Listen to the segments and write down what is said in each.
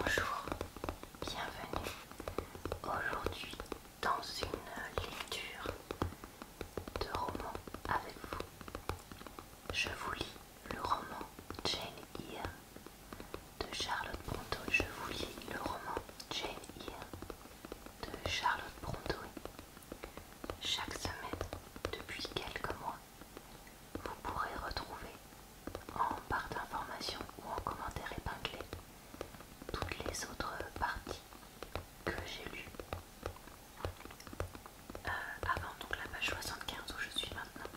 Bonjour, bienvenue aujourd'hui dans une lecture de roman avec vous. Je vous lis le roman Jane Eyre de Charlotte Brontë. Je vous lis le roman Jane Eyre de Charlotte Brontë. Chaque semaine, depuis quelques mois, vous pourrez retrouver, en barre d'information ou en commentaire épinglé, toutes les autres parties que j'ai lues euh, avant donc la page 75 où je suis maintenant.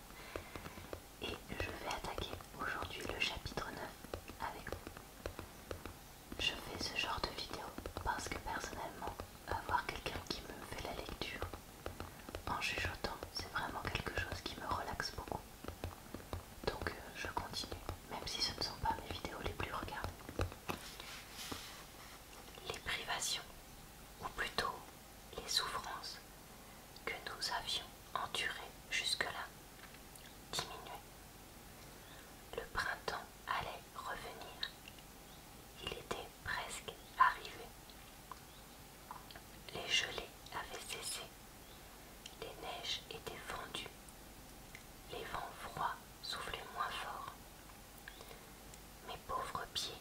Et je vais attaquer aujourd'hui le chapitre 9 avec vous. Je fais ce genre de vidéo parce que personnellement, avoir quelqu'un qui me fait la lecture en chuchotant, c'est vraiment quelque chose qui me relaxe beaucoup. Donc euh, je continue, même si ce ne sont pas mes vidéos les plus regardées. Les privations, ou plutôt les souffrances que nous avions endurées jusque-là, diminuaient. Le printemps allait revenir. Il était presque arrivé. Les gelées avaient cessé, les neiges étaient fendues, les vents froids soufflaient moins fort. Mes pauvres pieds,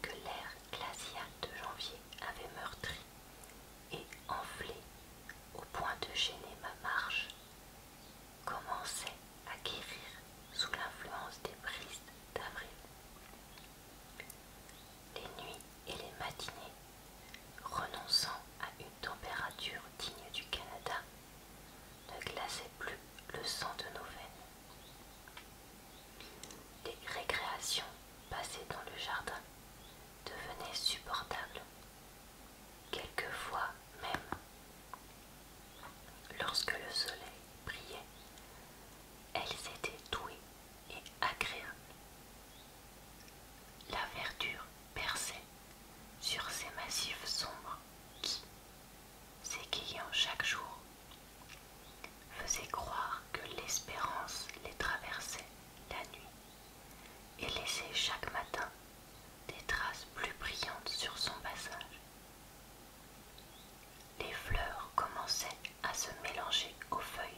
que l'air glacial de janvier avait meurtri et enflé au point de gêner ma marche, commençaient à guérir sous l'influence des brises d'avril les nuits et les matinées, renonçant à une température digne du Canada, ne glaçaient plus le sang de nos veines. Les récréations passées dans le jardin devenaient supportables. Quelquefois même, lorsque le soleil brillait, elles étaient douées et agréable. La verdure perçait sur ces massifs sombres qui, s'égayant chaque jour, faisaient croire que l'espérance les traversait la nuit et laissait chaque matin des traces plus brillantes sur son passage. Les fleurs commençaient à se mélanger aux feuilles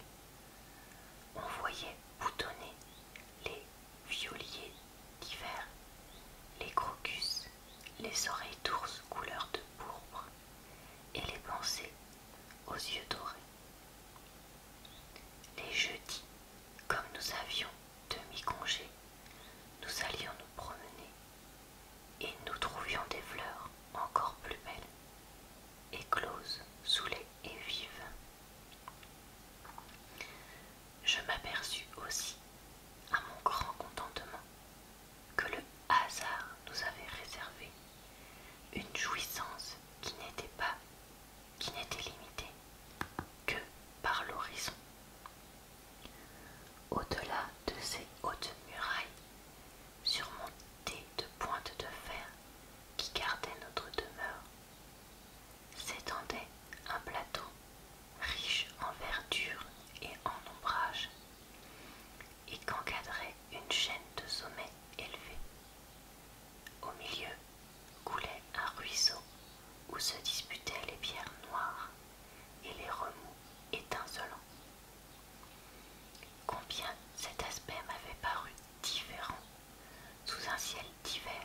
on voyait boutonner les violiers d'hiver, les crocus, les oreilles d'ours couleur de pourpre et les pensées aux yeux dorés. Les jeudis, comme nous avions demi-congé, nous allions nous promener et nous trouvions des fleurs encore plus belles éclose sous les haies Je m'aperçus aussi, à mon grand contentement, que le hasard nous avait réservé une jouissance qui n'était pas, qui n'était limitée que par l'horizon. Au-delà de ces hautes murailles, surmontée de pointes de fer qui gardaient notre demeure, s'étendait un plateau riche en verdure et en ombrage, et qu'encadrait une chaîne de sommets élevés. Au milieu coulait un ruisseau où se disputaient les pierres noires et les remous étincelants. Combien cet aspect m'avait paru différent sous un ciel d'hiver,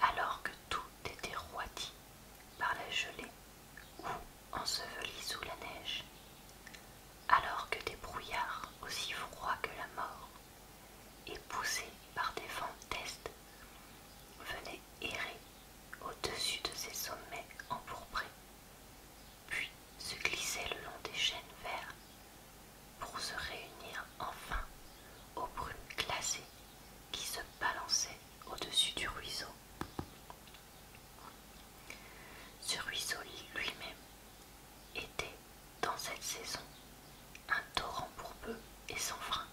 alors que tout était roidi par la gelée ou enseveli sous la neige, alors que des brouillards aussi froids que la mort et poussés par des vents d'est venaient errer au-dessus de ces sommets empourprés puis se glissaient le long des chênes verts pour se réunir enfin aux brumes glacées qui se balançaient au-dessus du ruisseau. Ce ruisseau lui-même était, dans cette saison, un torrent pour peu et sans frein.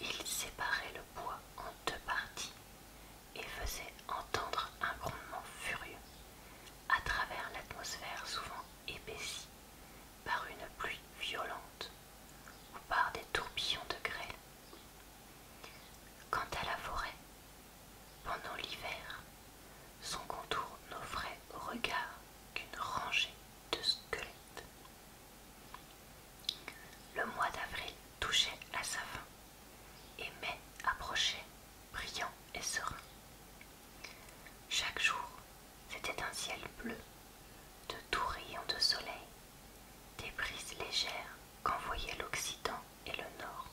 Il séparait le bois en deux parties et faisait entendre un grondement furieux à travers l'atmosphère souvent épaissie par une pluie violente ou par des tourbillons de grêle. Quant à la forêt, pendant l'hiver, son contour n'offrait au regard qu'une rangée de squelettes. Le mois d'avril touchait à sa fin et mai approchait brillant et serein. Chaque jour, c'était un ciel bleu, de doux rayons de soleil, des brises légères qu'envoyaient l'Occident et le Nord.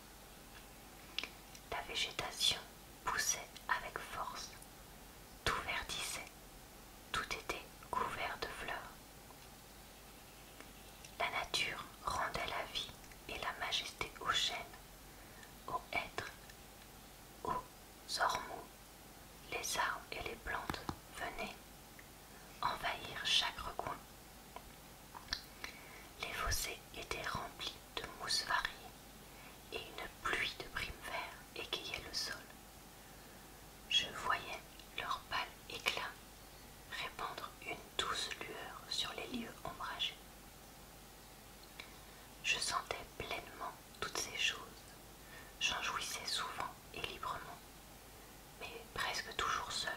La végétation poussait avec force, tout verdissait, tout était couvert de fleurs. La nature rendait la vie et la majesté aux chênes aux hêtres, aux ormeaux, les arbres et les plantes venaient envahir chaque recoin. Les fossés étaient remplis de mousses variées et une pluie de prime vert égayait le sol. Je voyais leur pâle éclat répandre une douce lueur sur les lieux ombragés. Je sentais pleinement toutes ces choses, j'en jouissais souvent et librement, mais presque toujours seule.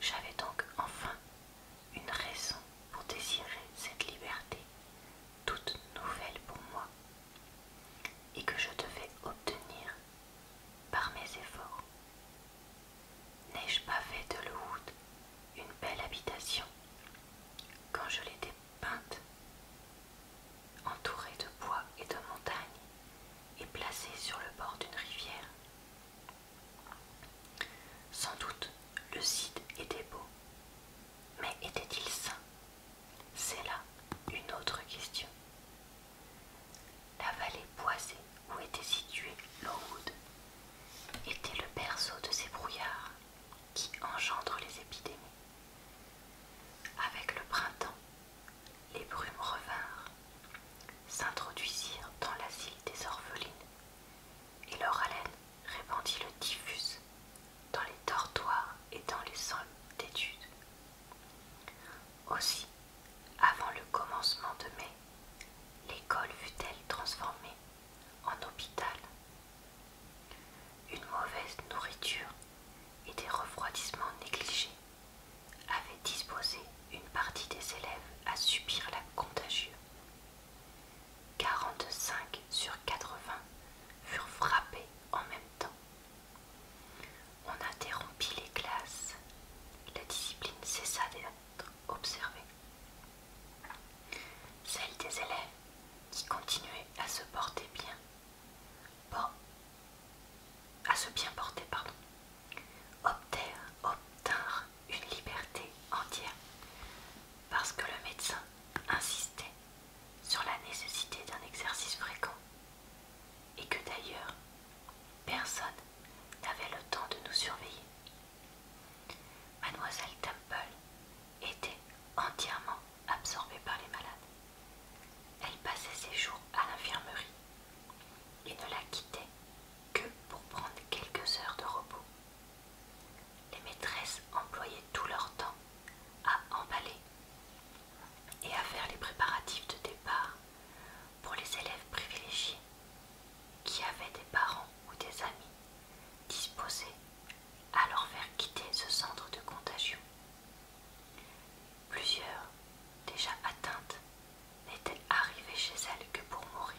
J'avais donc enfin une raison pour désirer cette liberté, toute nouvelle pour moi, et que je devais obtenir par mes efforts. N'ai-je pas fait de le Wood une belle habitation quand je l'ai dépeinte, entourée de bois et de montagnes et placée sur le bord d'une rivière Sans doute le site était beau, mais était-il sain C'est là une autre question la vallée boisée où était située l'Oud était le berceau de ces brouillards qui engendrent les épidémies. Avec le printemps, les brumes revinrent, s'introduisirent dans l'asile des orphelines, et leur haleine répandit le diffuse dans les dortoirs et dans les salles d'études. Aussi, avant le commencement de mai, L'école fut-elle transformée en hôpital Une mauvaise nourriture et des refroidissements négligés avaient disposé une partie des élèves à subir la contagieuse. 45 sur 80 furent frappés en même temps. On interrompit les classes. La discipline cessa d'être observée. Celle des élèves qui continuaient à se porter bien, à se bien porter, pardon, obtinrent une liberté entière parce que le médecin insistait sur la nécessité d'un exercice fréquent et que d'ailleurs personne n'avait le temps de nous surveiller. Mademoiselle Temple était entièrement absorbée par les malades. Elle passait ses jours à l'infirmerie et ne la quittait que pour prendre quelques heures de repos. Les maîtresses employaient tout leur temps à emballer et à faire les préparatifs de départ pour les élèves privilégiés qui avaient des parents ou des amis disposés à leur faire quitter ce centre de contagion. Plusieurs, déjà atteintes, n'étaient arrivées chez elles que pour mourir.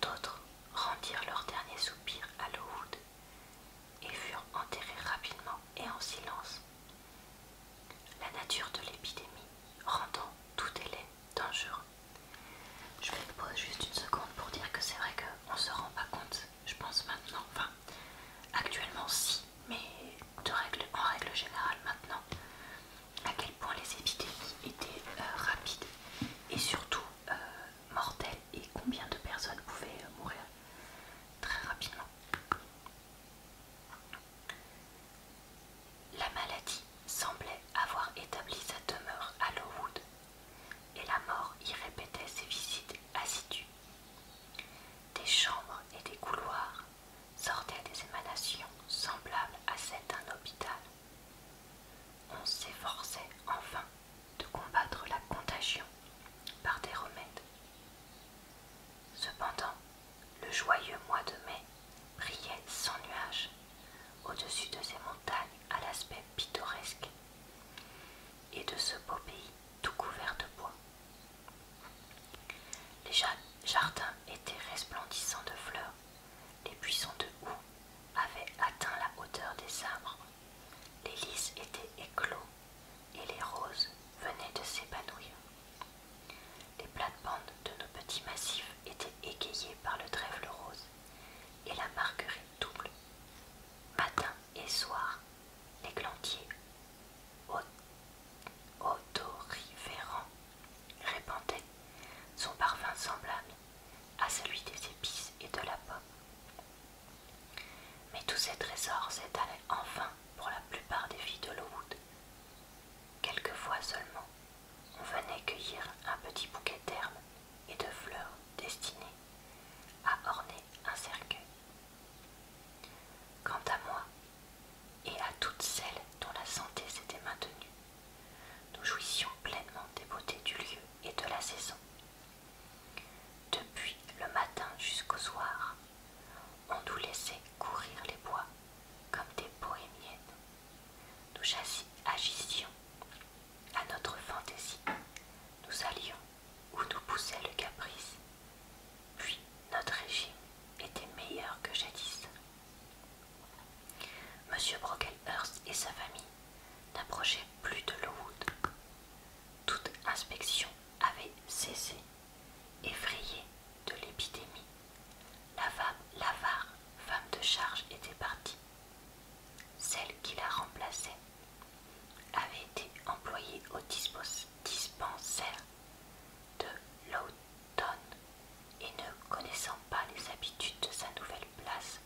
D'autres rendirent leur dernier soupir à Lowood et furent enterrés rapidement et en silence. La nature de l'épidémie rendant tout élève dangereux. Je vais pose juste une seconde pour dire que c'est vrai qu'on se rend pas compte, je pense maintenant, enfin actuellement si, mais de règle, en règle générale maintenant, à quel point les épidémies étaient euh, rapides et surtout euh, mortelles et combien de personnes pouvaient euh, mourir très rapidement. La maladie semblait avoir établi sa demeure à Lowood, et la mort y répétait ses visites assidues. Des chambres et des couloirs sortaient des émanations semblables à celles d'un hôpital. On s'efforçait enfin de combattre la contagion par des remèdes. Cependant, le joyeux mois de mai brillait sans nuages au-dessus de ces montagnes à l'aspect pittoresque, et de ce beau pays tout couvert de bois. Les jardins étaient resplendissants de fleurs, les buissons de houx avaient atteint la hauteur des arbres, les lys étaient éclos et les roses venaient de s'épanouir. Les plates-bandes de nos petits massifs étaient égayées par le trèfle rose et la marguerite double. Matin et soir, les l'églantier odoriférant répandait son parfum semblable à celui des épices et de la pomme. Mais tous ces trésors s'étalaient enfin pour la plupart des filles de Lowood. Quelquefois seulement, on venait cueillir un petit bouquet d'herbes et de fleurs destinées à orner un cercueil. Quant à moi, et à toutes celles dont la santé s'était maintenue, nous jouissions pleinement des beautés du lieu et de la saison. Depuis le matin jusqu'au soir, on nous laissait courir les bois comme des bohémiennes nous agissions à notre fantaisie. Nous allions où nous poussait le caprice. Puis notre régime était meilleur que jadis. M. Brocklehurst et sa famille n'approchaient plus de Lowood. Toute inspection avait cessé, effrayée de l'épidémie la femme, l'avare, femme de charge, était partie. Celle qui la remplaçait avait été employée au dispensaire de l'automne et ne connaissant pas les habitudes de sa nouvelle place,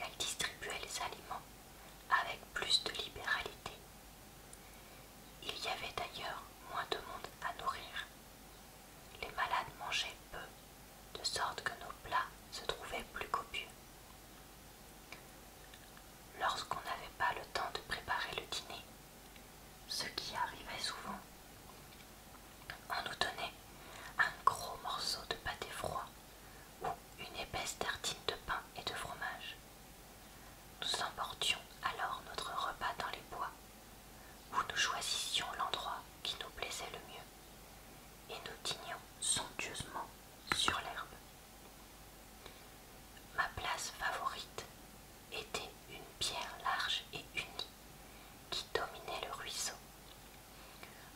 elle distribuait les aliments avec plus de libéralité. Il y avait d'ailleurs moins de monde à nourrir les malades mangeaient peu, de sorte que nos plats se trouvaient plus copieux. Lorsqu'on n'avait pas le temps de préparer le dîner, ce qui arrivait souvent, on nous donnait un gros morceau de pâté froid ou une épaisse tartine de pain et de fromage. Nous emportions alors notre repas dans les bois, où nous choisissions l'endroit qui nous plaisait le mieux et nous dînions somptueusement sur l'herbe. Ma place favorite était une pierre large et unie qui dominait le ruisseau.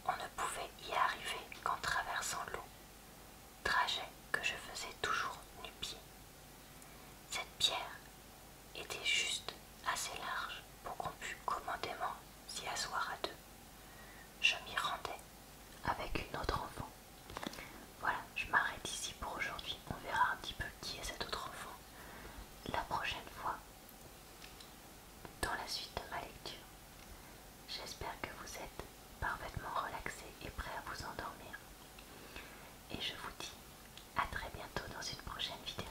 On ne pouvait y arriver qu'en traversant l'eau, trajet que je faisais toujours nu-pied. Cette pierre était juste assez large pour qu'on puisse commandément s'y asseoir à deux. Je m'y rendais avec une autre enfant. Voilà, je m'arrête ici pour aujourd'hui. On verra un petit peu qui est cette autre enfant la prochaine fois dans la suite de ma lecture. J'espère que vous êtes parfaitement relaxé et prêt à vous endormir. Et je vous dis à très bientôt dans une prochaine vidéo.